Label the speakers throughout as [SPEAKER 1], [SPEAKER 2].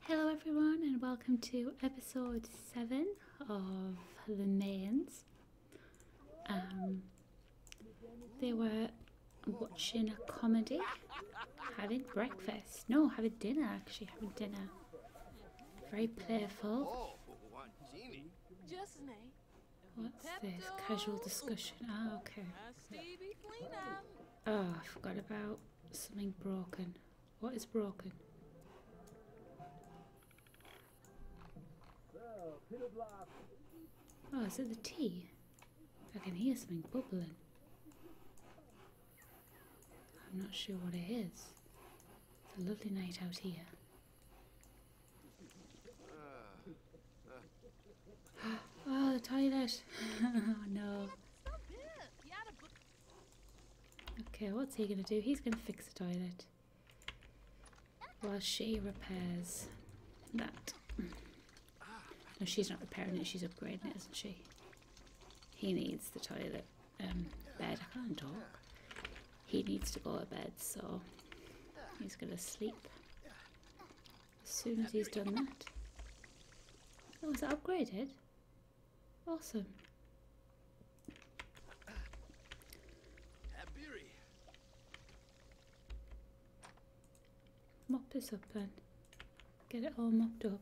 [SPEAKER 1] Hello, everyone, and welcome to episode seven of the Mayans. Um, they were watching a comedy, having breakfast. No, having dinner actually, having dinner. Very playful. Oh, What's this? Casual discussion. Ah, okay. Oh, I forgot about something broken. What is broken? Oh, is it the tea? I can hear something bubbling. I'm not sure what it is. It's a lovely night out here. Ah. Ah. oh, the toilet. oh, no. Okay, what's he going to do? He's going to fix the toilet. While she repairs that. No, she's not repairing it, she's upgrading it, isn't she? He needs the toilet um, bed. I can't talk. He needs to go to bed, so he's going to sleep. As soon as he's done that. Oh, is that upgraded? Awesome. Mop this up then. Get it all mopped up.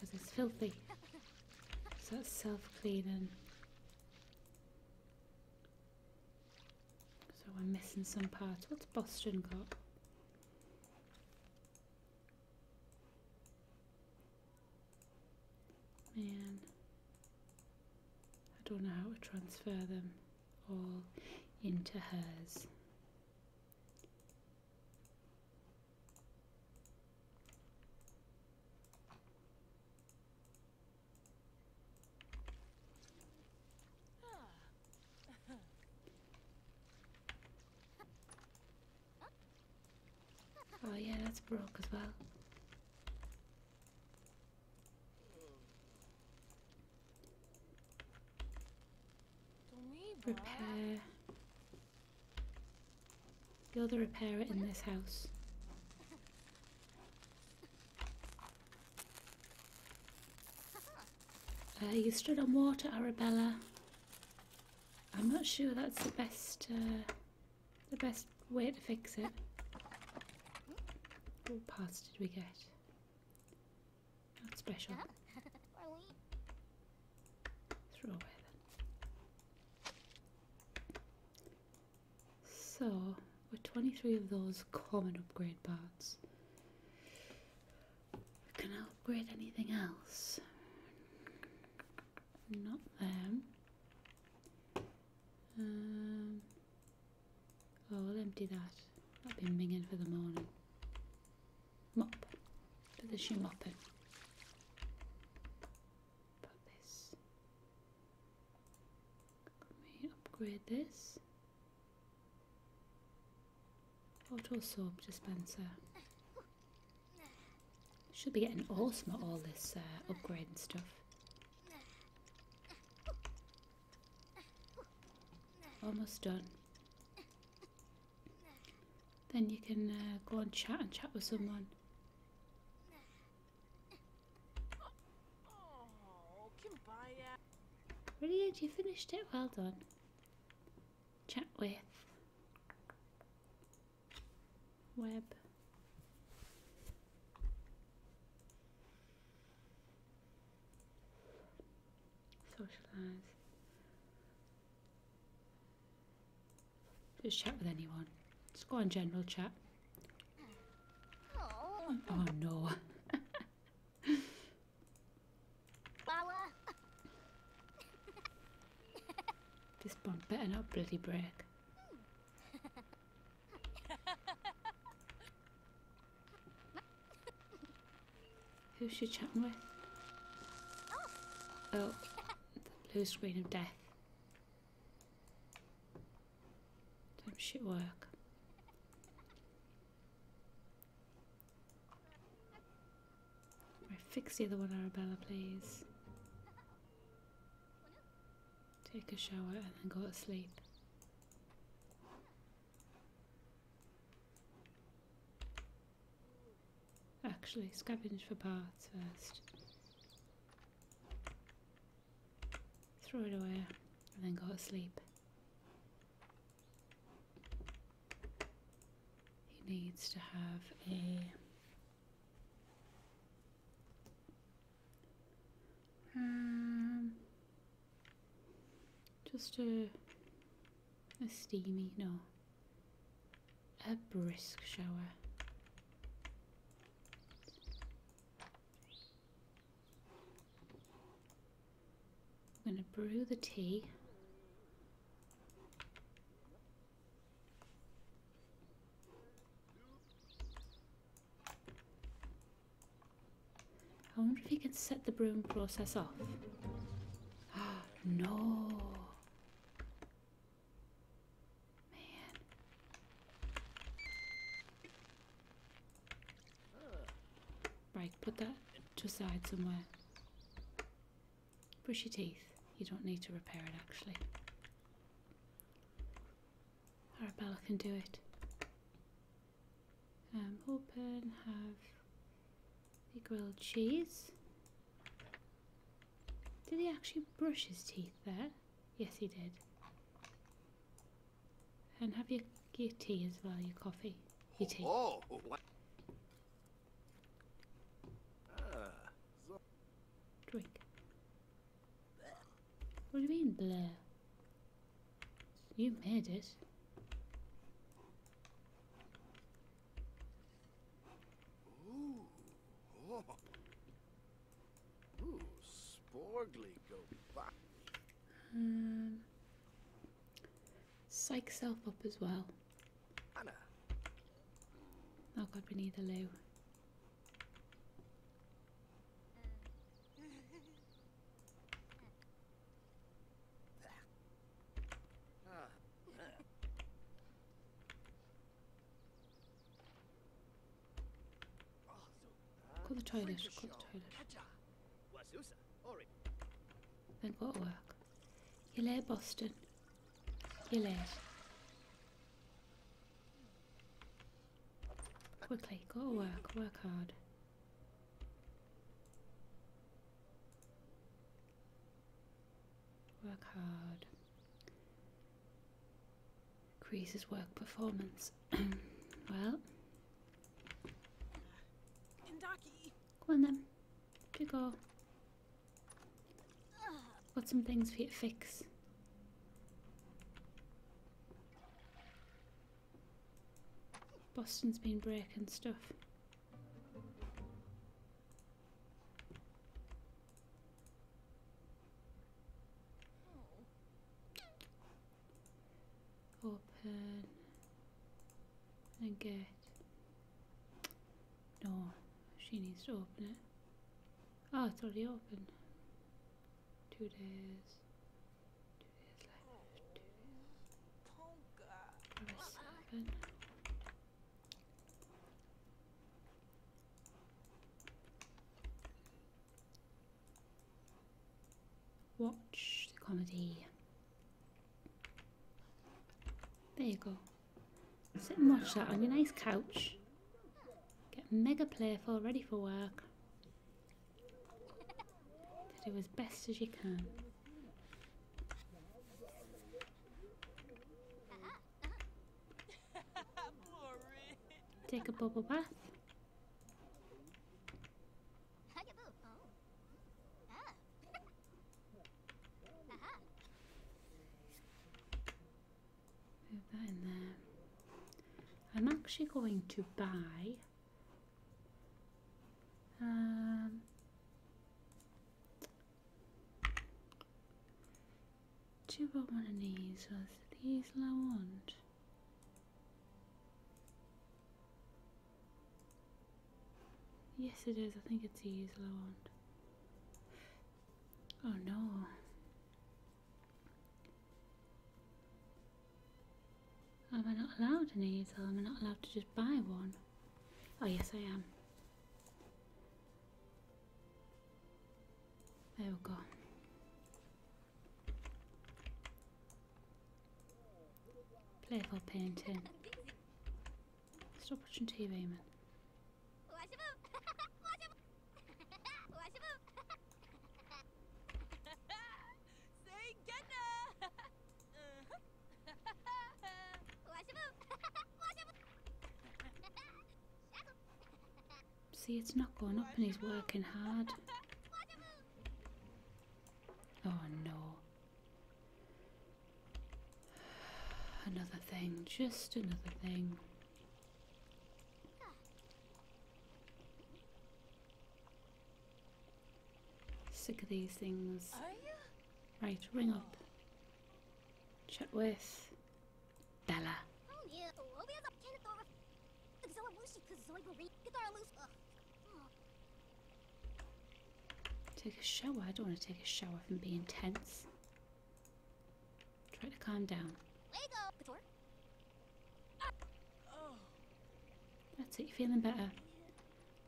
[SPEAKER 1] Because it's filthy. So it's self-cleaning. So I'm missing some parts. What's Boston got? Man, I don't know how to transfer them all into hers. Oh yeah, that's broke as well. Repair. You're the repairer in this house. Uh, you stood on water, Arabella. I'm not sure that's the best, uh, the best way to fix it. What parts did we get? Not special. Throw away so, with 23 of those common upgrade parts, can I upgrade anything else? Not them. Um, oh, we'll empty that. I've been minging for the morning. Mop. Put the shoe mop in. Put this. Let me upgrade this. Auto soap dispenser. Should be getting awesome at all this uh, upgrading stuff. Almost done. Then you can uh, go and chat and chat with someone. Oh, really, you finished it. Well done. Chat with web. Socialise. Just chat with anyone. Just go on general chat. Oh, oh no. this pump better not bloody break. Who's she chatting with? Oh, blue screen of death. Don't shit work. Right, fix the other one, Arabella, please. Take a shower and then go to sleep. Actually, scavenge for parts first throw it away, and then go to sleep. He needs to have a um, just a a steamy no, a brisk shower. I'm going to brew the tea. I wonder if you can set the brewing process off. Ah, no! Man. Right, put that to the side somewhere. Brush your teeth. You don't need to repair it actually. Arabella can do it. Um, open, have the grilled cheese. Did he actually brush his teeth there? Yes, he did. And have your, your tea as well, your coffee. Your tea. Oh, oh, what? Drink. What do you mean, Blair? You made it. Ooh, oh. Ooh, Sporgly go back. Um, psych self up as well. Oh god, we need a loo. Ah. Go to the toilet, go to the toilet. Then go to work. You're late, Boston. You're late. Quickly, go to work, work hard. Work hard. Increases work performance. well, Go on then. You go. Got some things for you to fix. Boston's been breaking stuff open and get no she needs to open it oh it's already open two days two days left seven Watch the comedy. There you go. Sit and watch that on your nice couch. Get mega playful, ready for work. To do as best as you can. Take a bubble bath. Move that in there. I'm actually going to buy um, do I want one of these or I want? Yes, it is. I think it's these that I Oh no. Am I not allowed an easel? Am I not allowed to just buy one? Oh yes I am. There we go. Playful painting. Stop watching TV, man. See, it's not going up and he's working hard. Oh no. Another thing, just another thing. Sick of these things. Right, ring up. Chat with Bella. Oh, Take a shower. I don't want to take a shower from being intense. Try to calm down. That's it. You're feeling better.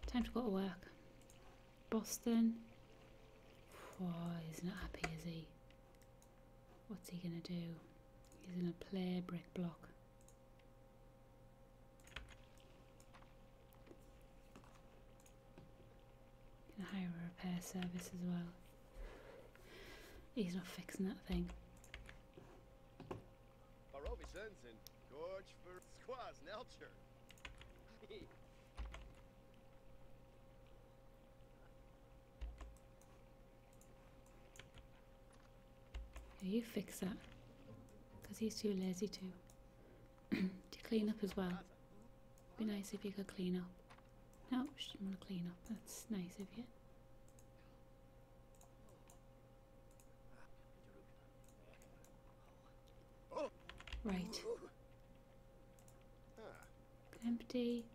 [SPEAKER 1] Time to go to work. Boston. Why is not happy, is he? What's he going to do? He's going to play brick block. Can hire a repair service as well. He's not fixing that thing. Yeah, you fix that. Because he's too lazy to. to clean up as well. Be nice if you could clean up. No, she didn't want to clean up. That's nice of you. Right. Empty.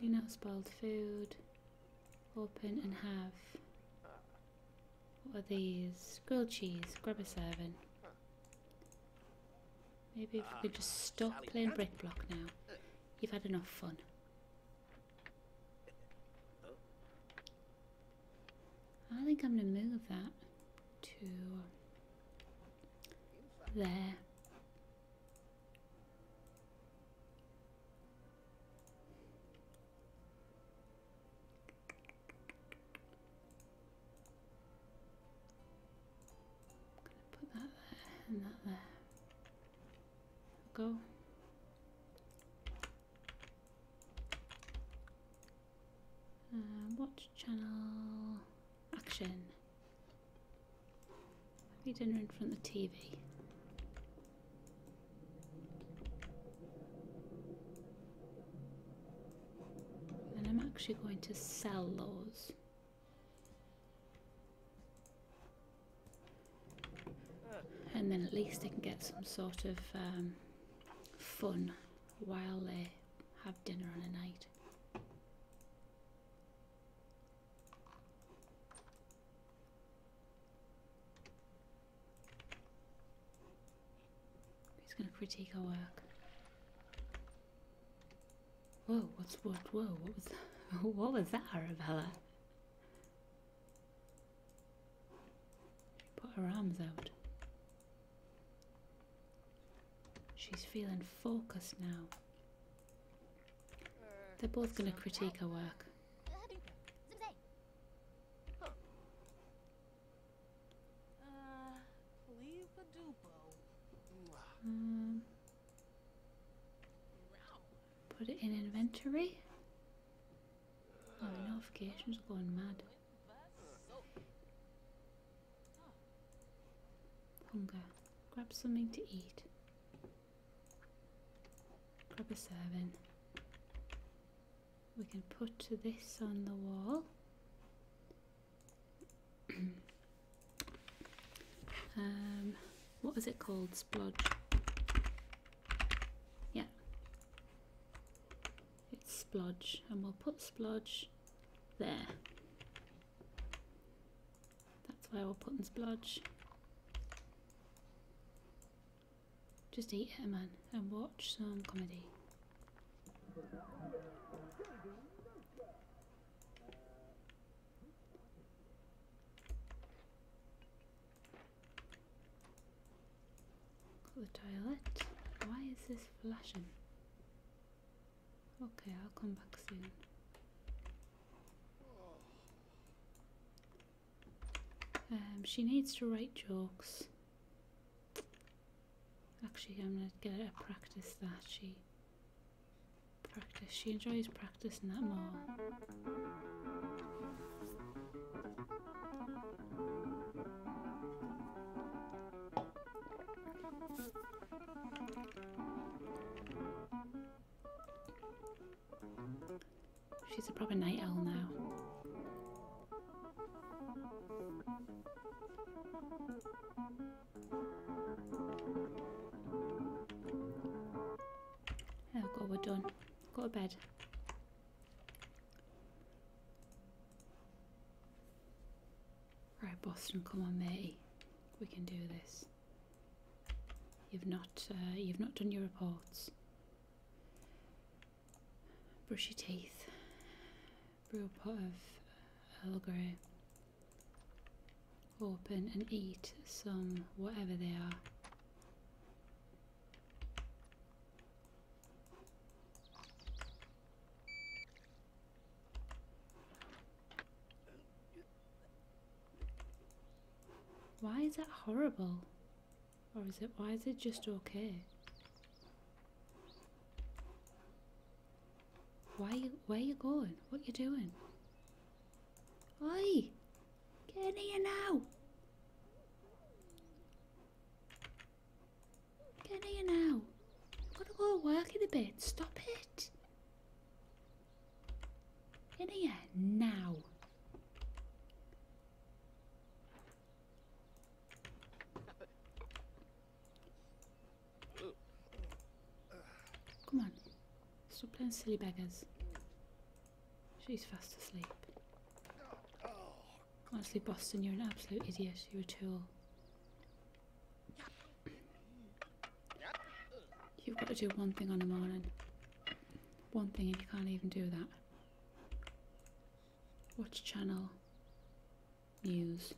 [SPEAKER 1] Clean up spoiled food. Open and have. What are these? Grilled cheese. Grab a serving. Maybe if we could just stop playing brick block now. You've had enough fun. I think I'm going to move that to there. I'm gonna put that there and that there. Go. Uh, watch channel action. Have Happy dinner in front of the TV. And I'm actually going to sell those. And then at least they can get some sort of um, fun while they have dinner on a night. He's gonna critique our work. Whoa, what's what? Whoa, what was that? What was that, Arabella? She put her arms out. She's feeling focused now. They're both gonna critique her work. Uh, leave Um, put it in inventory. my oh, notifications are going mad. Hunger. Grab something to eat. Grab a serving we can put this on the wall um, what is it called? Splodge. Yeah. It's splodge. And we'll put splodge there. That's where we're putting splodge. Just eat it, man, and watch some comedy. the toilet. Why is this flashing? Okay, I'll come back soon. Um, she needs to write jokes. Actually, I'm going to get her practice that. She practice. She enjoys practicing that more. She's a proper night owl now. Oh god, we're done. Got a bed. Right, Boston, come on, matey. We can do this. You've not, uh, you've not done your reports. Brush your teeth. Brew a pot of Earl Grey. Open and eat some whatever they are. Why is that horrible? Or is it, why is it just okay? Why you, where you going? What you doing? Oi! Get in here now! Get in here now! I've got to go work in a bit. Stop it! Get In here now! Come on. Stop playing silly beggars. She's fast asleep. Honestly, Boston, you're an absolute idiot. You're a tool. You've got to do one thing on the morning. One thing and you can't even do that. Watch channel. News.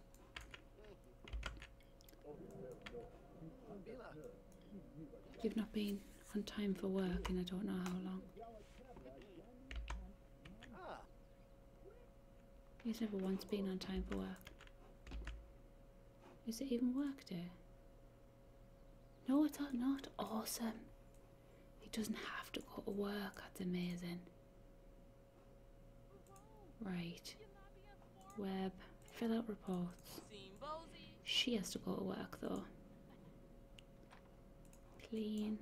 [SPEAKER 1] You've not been on time for work and I don't know how long. He's never once been on time for work. Is it even work day? No, it's not awesome. He doesn't have to go to work, that's amazing. Right. Web, fill out reports. She has to go to work though. Clean.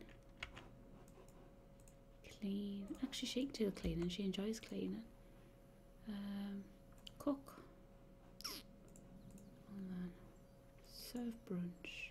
[SPEAKER 1] Clean. Actually, she can cleaning. She enjoys cleaning. Um, cook. And then serve brunch.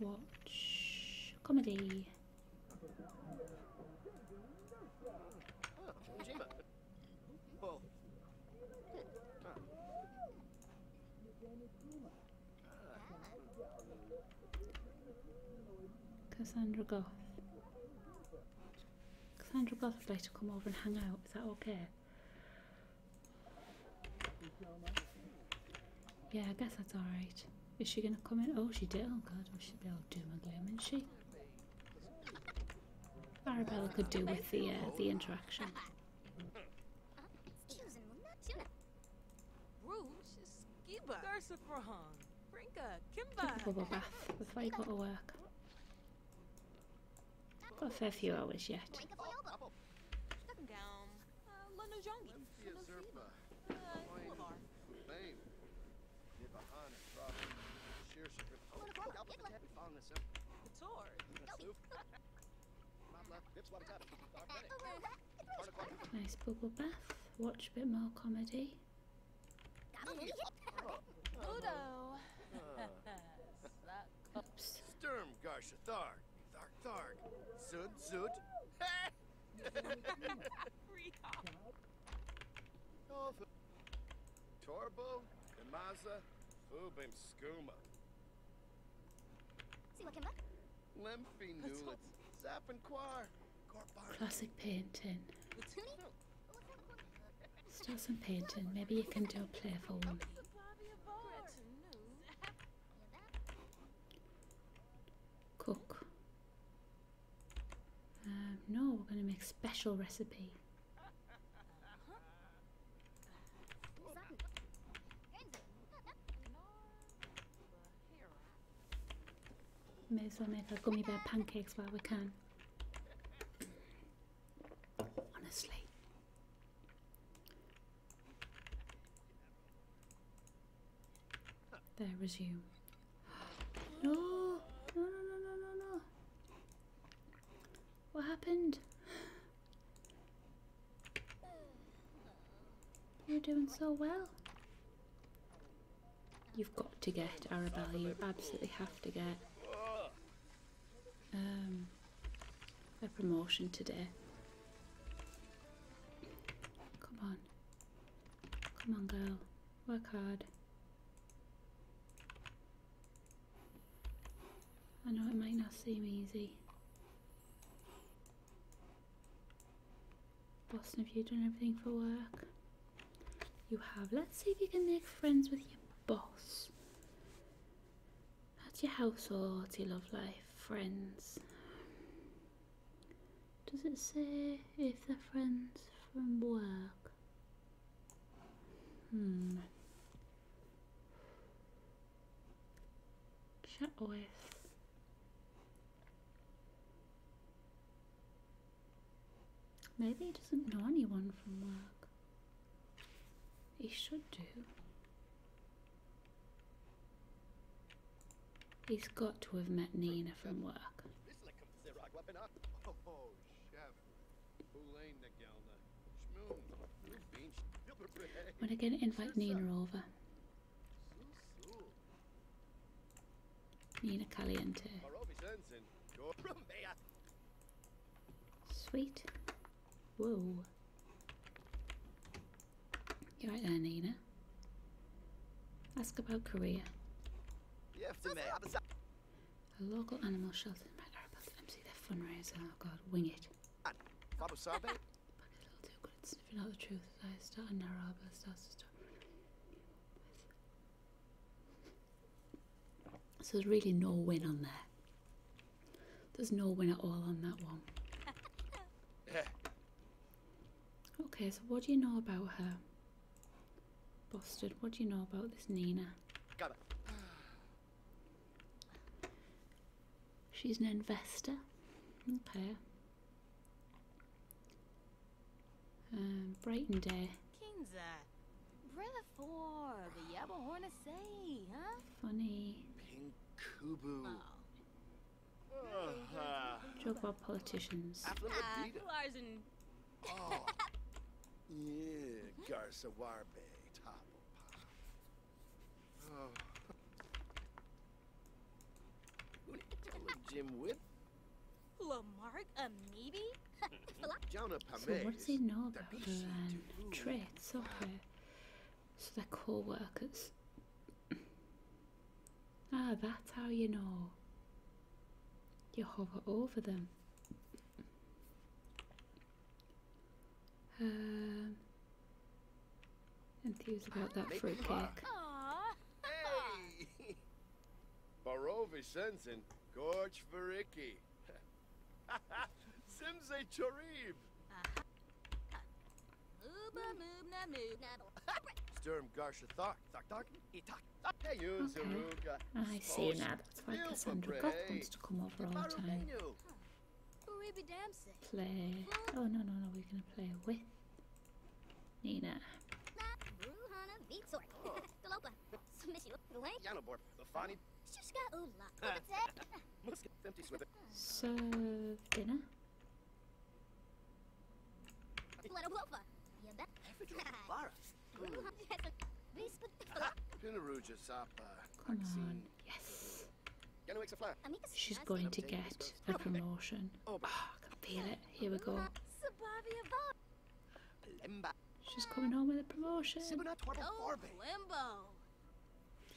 [SPEAKER 1] Watch comedy. Cassandra Goth. Cassandra Goth would like to come over and hang out, is that okay? Yeah, I guess that's alright. Is she gonna come in? Oh, she did. Oh god, we should be able to do my gloom, isn't she? Arabella could do with the, the interaction. bubble bath. That's you got to work. Got a fair few hours yet. Nice bubble bath. Watch a bit more comedy. Udo. Sturm Garsha Tharg. Tharg Tharg. Zut Zut. Torbo, Imaza, Ubim Skooma. Lemphy Nulet, Zap and Quar. Classic painting. Oh, Start some painting. Maybe you can do a playful one. Oh, Cook. Um, no, we're going to make special recipe. May as well make our gummy bear pancakes while we can. Honestly. There, resume. No! No, no, no, no, no, no. What happened? You're doing so well. You've got to get Arabella, you absolutely have to get. Um, a promotion today. Come on. Come on, girl. Work hard.
[SPEAKER 2] I know it might not
[SPEAKER 1] seem easy. Boston, have you done everything for work? You have. Let's see if you can make friends with your boss. How's your house or household, your love life, friends? Does it say if they're friends from work? Hmm. Chat with. Maybe he doesn't know anyone from work. He should do. He's got to have met Nina from work. I'm oh, gonna get invite Nina over. Nina Caliente. Sweet. Whoa. You're right there, Nina. Ask about Korea. me. A local animal shelter in Red Arabas MC their fundraiser. Oh god, wing it. But it's a little too good at sniffing out the truth I start in Araba starts to start. So there's really no win on there. There's no win at all on that one. Okay, so what do you know about her? Boston, what do you know about this Nina? Got it. She's an investor. Okay. Um, Brighton Day. Kinza. Brilla for the Yabahorna say, huh? Funny. Kubu. Oh. Uh-huh. Joke about politicians. Ah, oh. Yeah, Garza Warbe, Topo Pop. Oh. Jim with? Lamarck uh, a so what does he know about her so they're co workers. ah, that's how you know. You hover over them. Um, enthused about that fruitcake. Hey! Barovi Sensen, Gorch Vericki. Simze Chorib! Uh-huh. Sturm Garsha Thok, Thok Thok, Itak, Thok, Hey, I see now that's why Cassandra Goth wants to come over all the time. Play. Oh, no, no, no, we're gonna play with Nina. So, dinner? Come on, yes. She's going to get a promotion. Oh, ah, can feel it. Here we go. She's coming home with a promotion.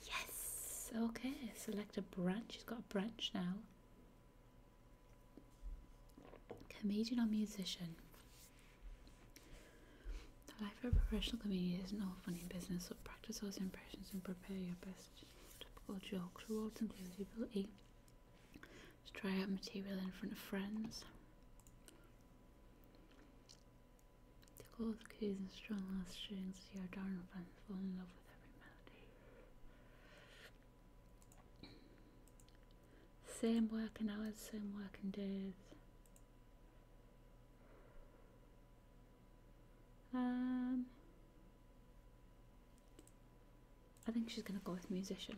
[SPEAKER 1] Yes, okay, select a branch. She's got a branch now. Comedian or musician? The life of a professional comedian is no funny business, so practice those impressions and prepare your best typical jokes. Rewards include the ability to try out material in front of friends. The cold keys and strong last strings, your darn fans fall in love with every melody. Same working hours, same working days. Um, I think she's gonna go with musician.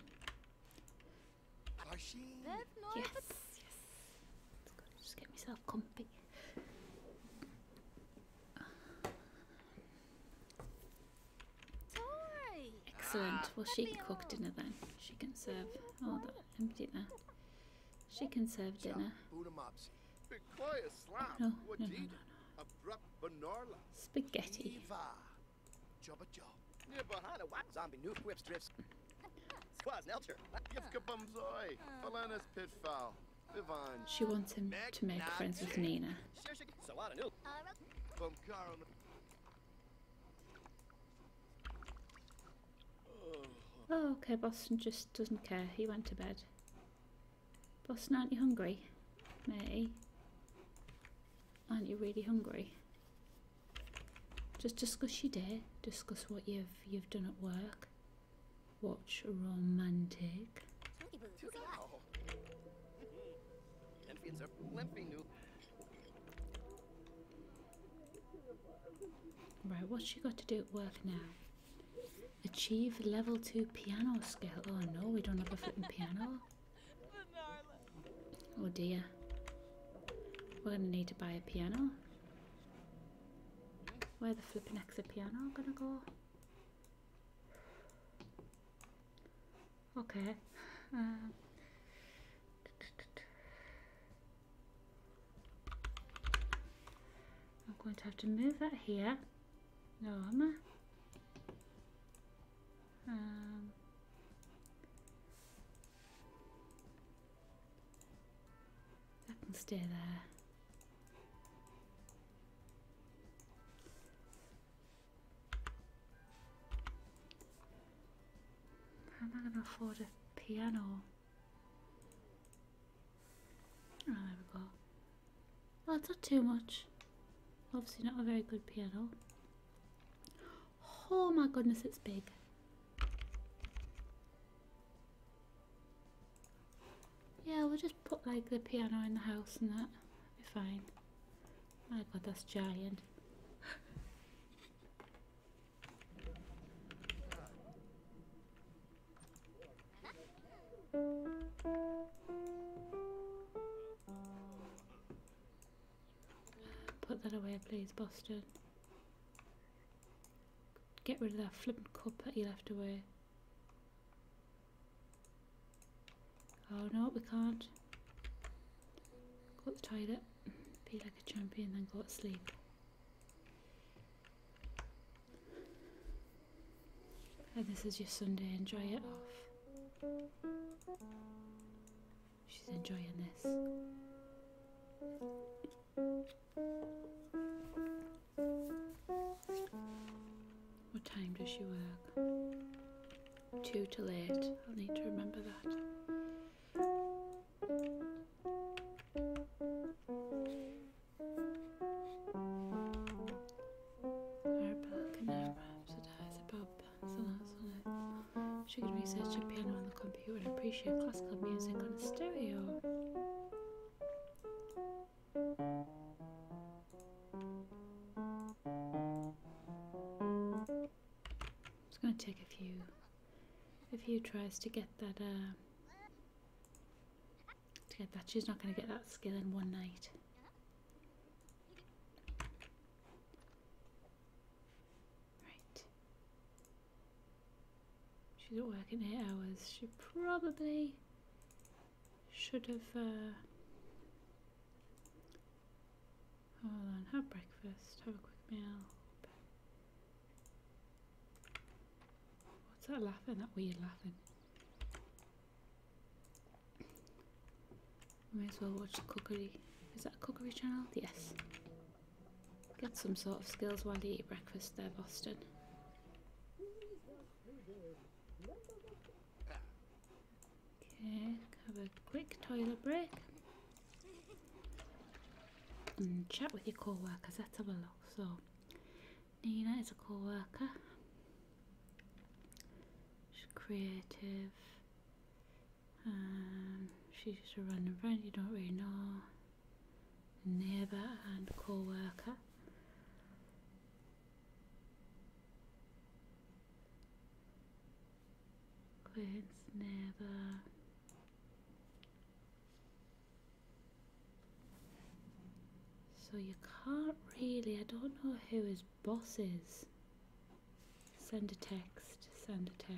[SPEAKER 1] Yes, yes. Just get myself comfy. Excellent. Well, she can cook dinner then. She can serve. Oh, that empty there. She can serve dinner. Oh, no, no, no, no, no. Spaghetti. She wants him to make friends with Nina. Oh, okay, Boston just doesn't care. He went to bed. Boston, aren't you hungry? Matey? Aren't you really hungry? Just discuss your day. Discuss what you've you've done at work. Watch romantic. Right, what's she got to do at work now? Achieve level 2 piano skill. Oh no, we don't have a flipping piano. Oh dear. We're going to need to buy a piano. Where the flipping exit piano gonna go? Okay. Um. I'm going to have to move that here. No, am I? that um. can stay there. How am I going to afford a piano? Oh, there we go. Well, it's not too much. Obviously not a very good piano. Oh my goodness, it's big. Yeah, we'll just put like the piano in the house and that. Be fine. My god, that's giant. Put that away please, Boston. Get rid of that flipping cup that you left away. Oh no, we can't. Go to the toilet, be like a champion, then go to sleep. And this is your Sunday, enjoy it off. She's enjoying this. What time does she work? Two to eight. I'll need to remember that. She can research a piano on the computer and appreciate classical music on a stereo. It's going to take a few a few tries to get that uh, to get that. She's not going to get that skill in one night. Right. She didn't work in eight hours. She probably should have. Uh, hold on, have breakfast, have a quick meal. What's that laughing? That weird laughing. We might as well watch the cookery. Is that a cookery channel? Yes. Get some sort of skills while you eat breakfast there, Boston. Okay, have a quick toilet break and chat with your co workers. Let's have a look. So, Nina is a co worker, she's creative, um, she's just a random friend you don't really know. Neighbour and co worker. Quince never. So you can't really, I don't know who his boss is. Send a text, send a text.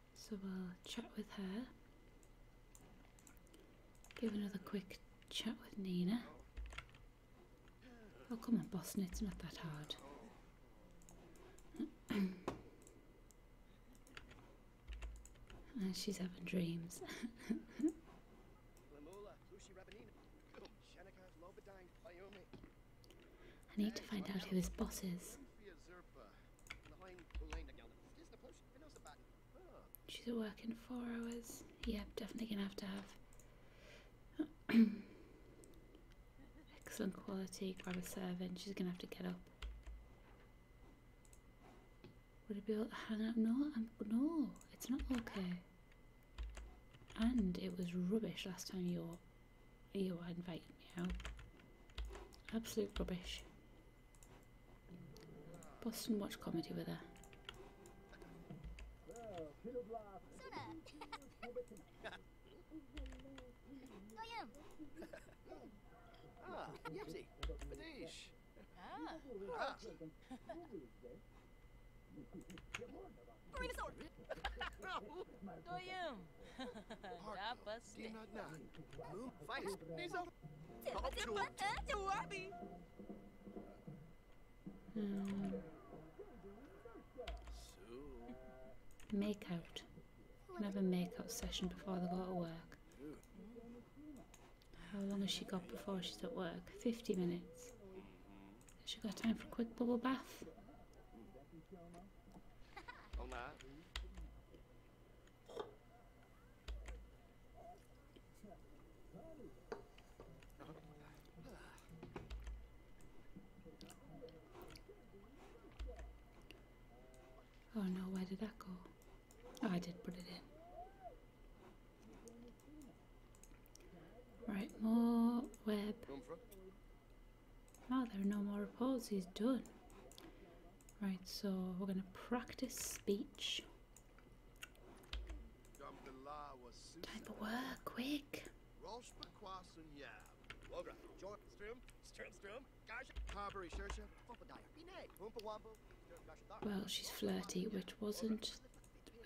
[SPEAKER 1] So we'll chat with her. Give another quick chat with Nina. Oh, come on, Boston, it's not that hard. and she's having dreams. I need to find out who his boss is. She's working four hours. Yeah, definitely gonna have to have excellent quality. Grab a serving. She's gonna have to get up. Would it be able to hang out? No, I'm, no, it's not okay. And it was rubbish last time you you invited me out. Absolute rubbish. Boston watch comedy with her. ah, Yipsy, Badish. Ah, ah. Bring us over. Do you? đã bớt đi Can have a make session before they go to work. How long has she got before she's at work? 50 minutes. Has she got time for a quick bubble bath? Oh no, where did that go? Oh, I did put it in. Right, more web. Oh, there are no more reports. He's done. Right, so we're going to practice speech. Time for work, quick. Well, she's flirty, which wasn't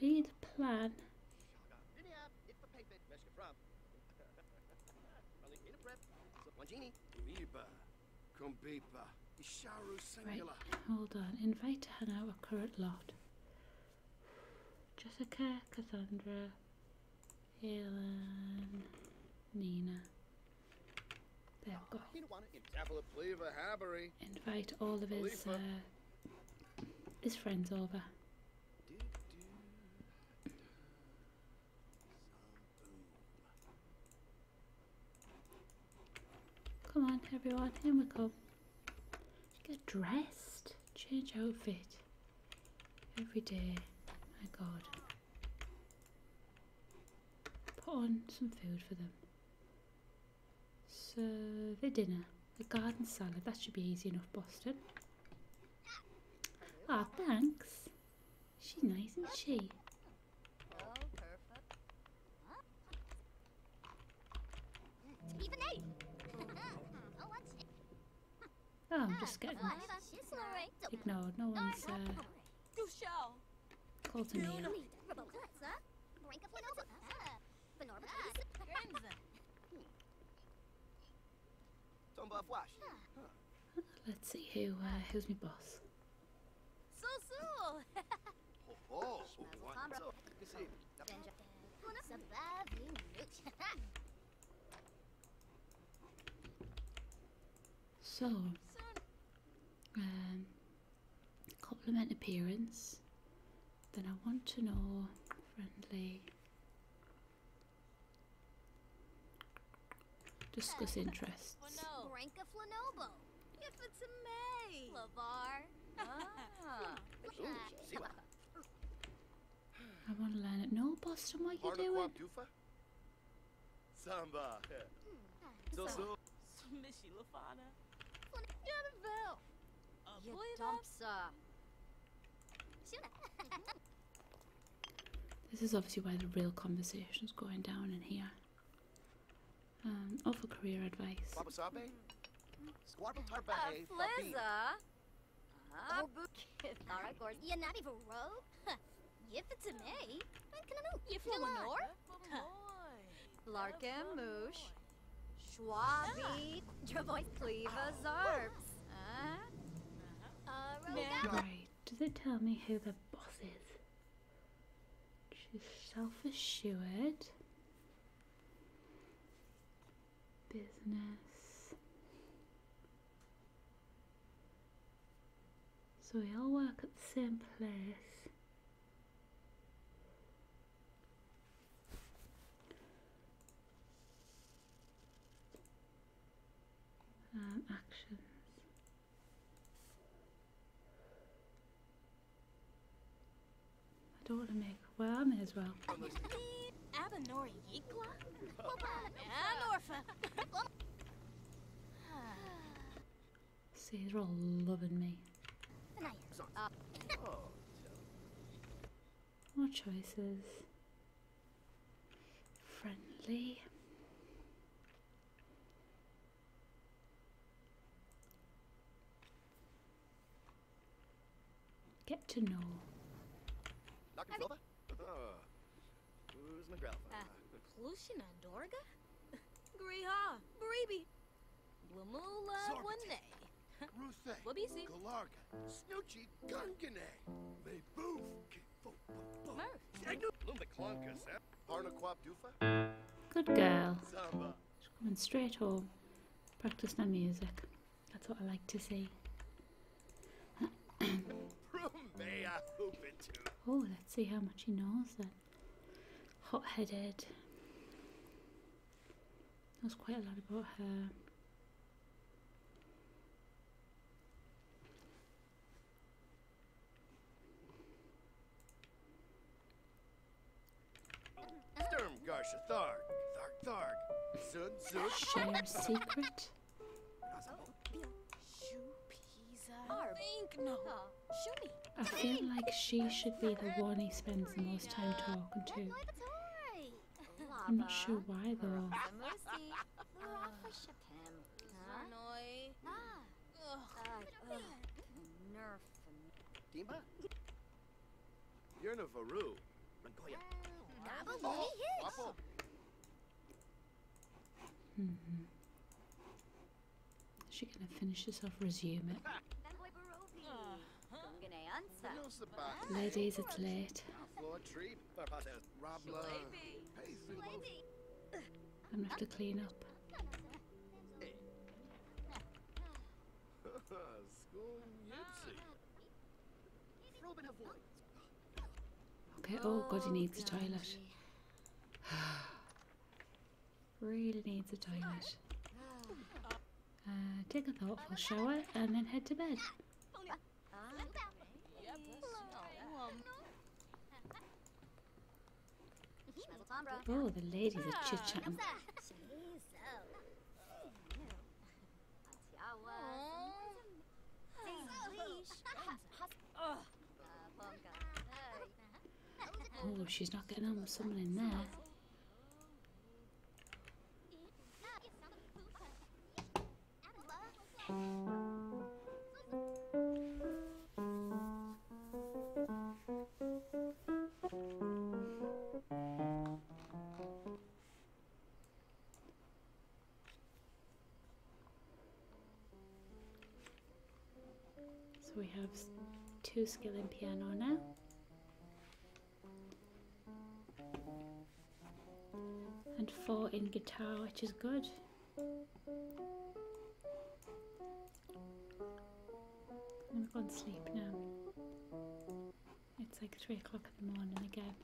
[SPEAKER 1] really the plan. Right, hold on. Invite to hang out a current lot. Jessica, Cassandra, Helen, Nina. There we go. Invite all of his uh, his friends over. Come on, everyone, Here we go. Get dressed, change outfit every day. My God. Put on some food for them. Serve the dinner, the garden salad. That should be easy enough, Boston. Ah, thanks. She's nice, isn't she? Oh, I'm just getting ignored. No one's uh, called to me. Let's see who uh, who's my boss. So, oh, oh. um, compliment appearance. Then I want to know friendly Discuss interests. If it's a May. Lavar. Ah. I want to learn it. No, Boston, what are you doing? Samba. Hmm. So so. Smishy Lafana. Yadaville. Yadumpsa. This is obviously where the real conversation is going down in here. Um, or for career advice. Larkin Moosh. Schwabi. Dravois Cleva Zarps. Right. Does it tell me who the boss is? She's self-assured, business. So we all work at the same place. Um, actions. I don't want to make. Well, I may as well. See, they're all loving me. More choices. Friendly. Get to know. Nakamflova? Oh. Uh, who's Magralfa? Plushina uh, Dorga? Griha, Baribi. Blamula Wunne. Ruse. Wabisi. Galarga. Snoochie Gungane. They boof. Good girl. She's coming straight home. Practice her music. That's what I like to see. oh, let's see how much he knows then. Hot headed. Knows quite a lot about her. Sturm Garsha Tharg, Tharg Tharg, Zud Zud. secret? Ah, I feel like she should be the one he spends the most time talking to. I'm not sure why though. Kim. Huh? Ah. ah nerf. Dima? You're no Varu. Mongoya. Oh, oh. Mm -hmm. Is she gonna finish this off? Resume it. Ladies, it's late. I'm gonna have to clean up.
[SPEAKER 2] Okay, oh god, he needs a toilet.
[SPEAKER 1] really needs a toilet. Uh, take a thoughtful shower and then head to bed. Mm-hmm. Oh, the lady's a chit chatting. Oh, she's not getting on with someone in there. Mm. So we have two skill in piano now. And four in guitar, which is good i am going to sleep now. It's like three o'clock in the morning again.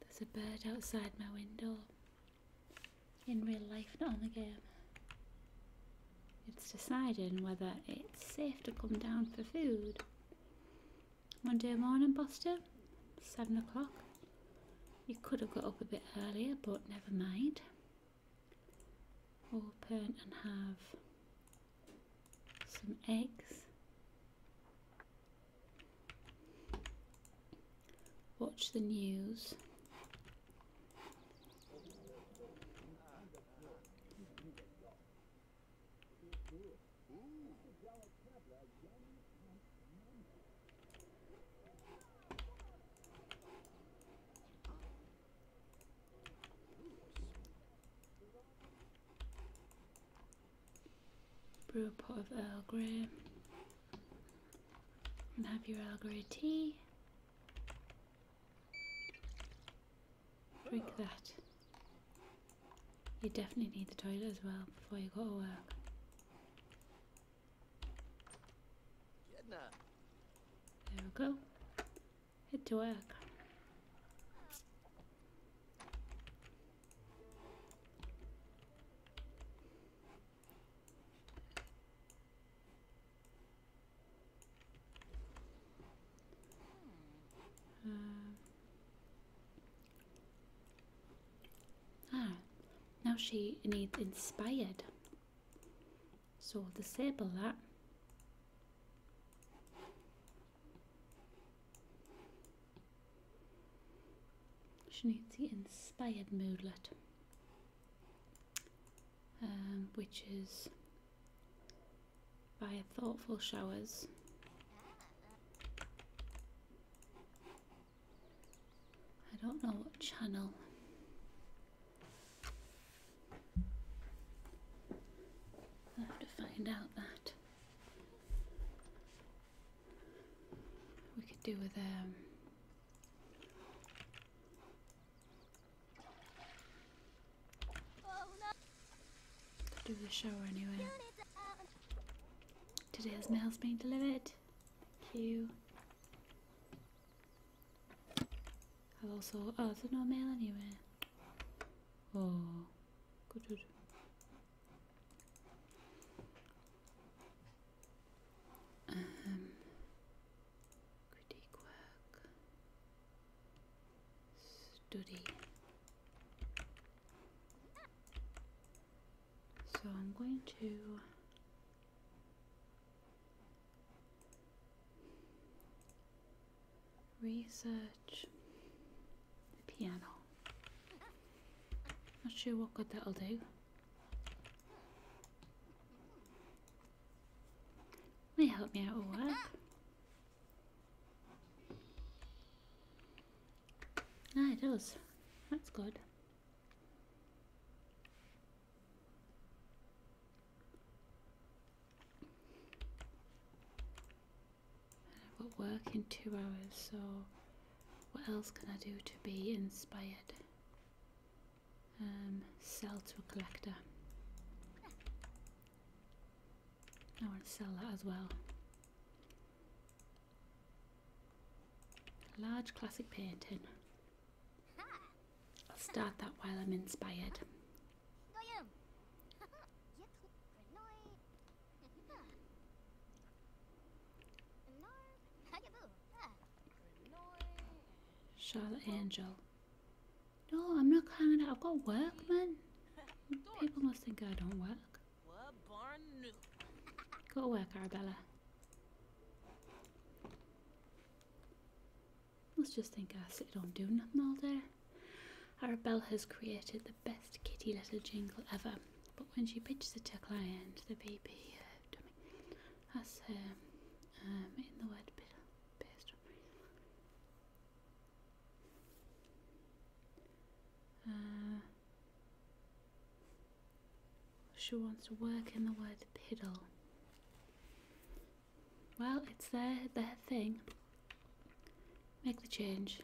[SPEAKER 1] There's a bird outside my window. In real life, not on the game. It's deciding whether it's safe to come down for food Monday morning, Boston, seven o'clock. You could have got up a bit earlier, but never mind. Open and have some eggs. Watch the news. Brew a pot of Earl Grey and have your Earl Grey tea. Drink that. You definitely need the toilet as well before you go to work. There we go. Head to work. Hmm. Um, Ah, now she needs inspired. So disable that. She needs the inspired moodlet. Um, which is by Thoughtful Showers. I don't know what channel. have to find out that. We could do with um oh, do the show anyway. Today's mail's been delivered. Q. I've also oh there's no mail anywhere. Oh good good. Um critique work study so I'm going to research the piano. Not sure what good that'll do. May help me out a lot. Ah, it does. That's good. I've got work in two hours, so what else can I do to be inspired? Um, sell to a collector. I want to sell that as well. Large classic painting. I'll start that while I'm inspired. Charlotte Angel. No, I'm not coming out. I've got work, man. People must think I don't work. Go to work, Arabella. Let's just think I sit on doing nothing all day. Arabella has created the best kitty little jingle ever, but when she pitches it to a client, the baby uh, dummy has her um, um, in the word bit she wants to work in the word piddle. Well, it's their, their thing. Make the change.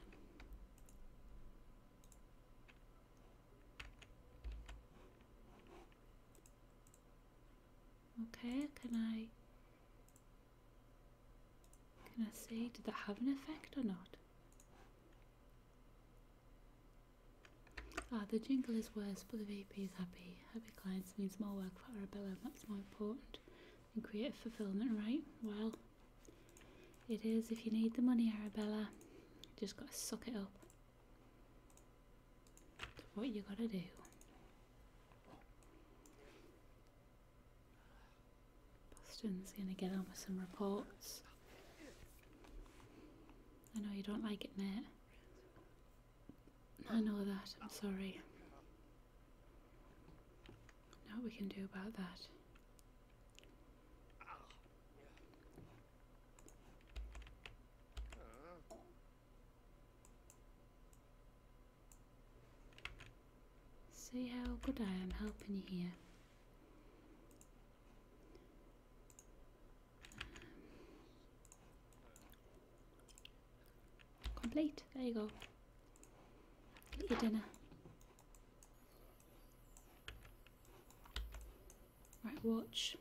[SPEAKER 1] Okay, can I can I see? Did that have an effect or not? Ah, the jingle is worse, but the VP is happy. Happy clients means more work for Arabella, that's more important. And create fulfillment, right? Well, it is if you need the money, Arabella. You just gotta suck it up. what you gotta do. Boston's gonna get on with some reports. I know you don't like it, mate. I know that, I'm sorry. Now we can do about that? See how good I am helping you here. Complete. There you go. Get your dinner. Right, watch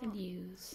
[SPEAKER 1] the news.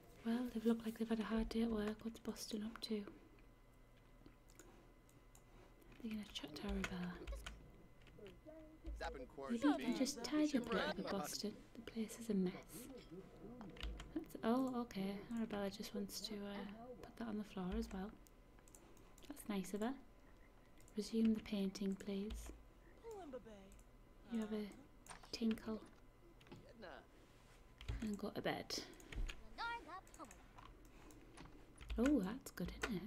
[SPEAKER 1] Well, they've looked like they've had a hard day at work. What's Boston up to? They're going to chat to our bar. You can just tidy up a bit over Boston. The place is a mess. oh, okay. Arabella just wants to uh, put that on the floor as well. That's nice of her. Resume the painting, please. You have a tinkle and got a bed. Oh, that's good, isn't it?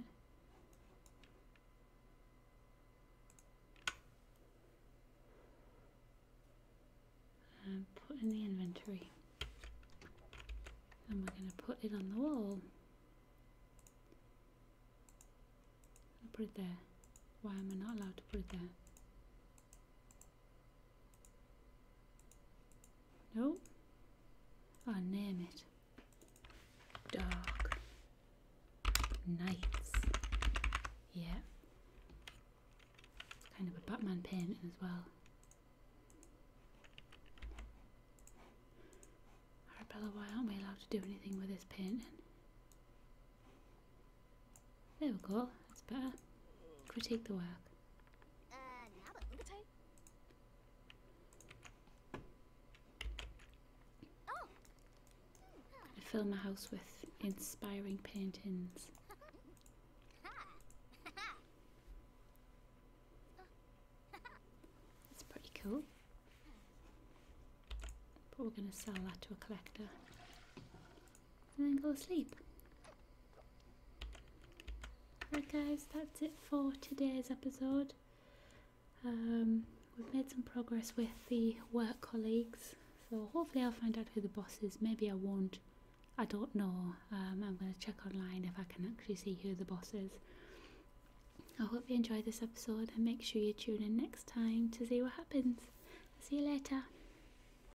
[SPEAKER 1] And um, put in the inventory. And we're going to put it on the wall. put it there. Why am I not allowed to put it there? No? I ah, name it. Dark Nights. Yeah. kind of a Batman pin as well. Arabella, why aren't we allowed to do anything with this pin? There we go, that's better. Critique the work. I fill my house with inspiring paintings. That's pretty cool. But we're going to sell that to a collector and then go to sleep. Right, guys, that's it for today's episode. Um, we've made some progress with the work colleagues, so hopefully I'll find out who the boss is. Maybe I won't. I don't know. Um, I'm going to check online if I can actually see who the boss is. I hope you enjoyed this episode and make sure you tune in next time to see what happens. See you later.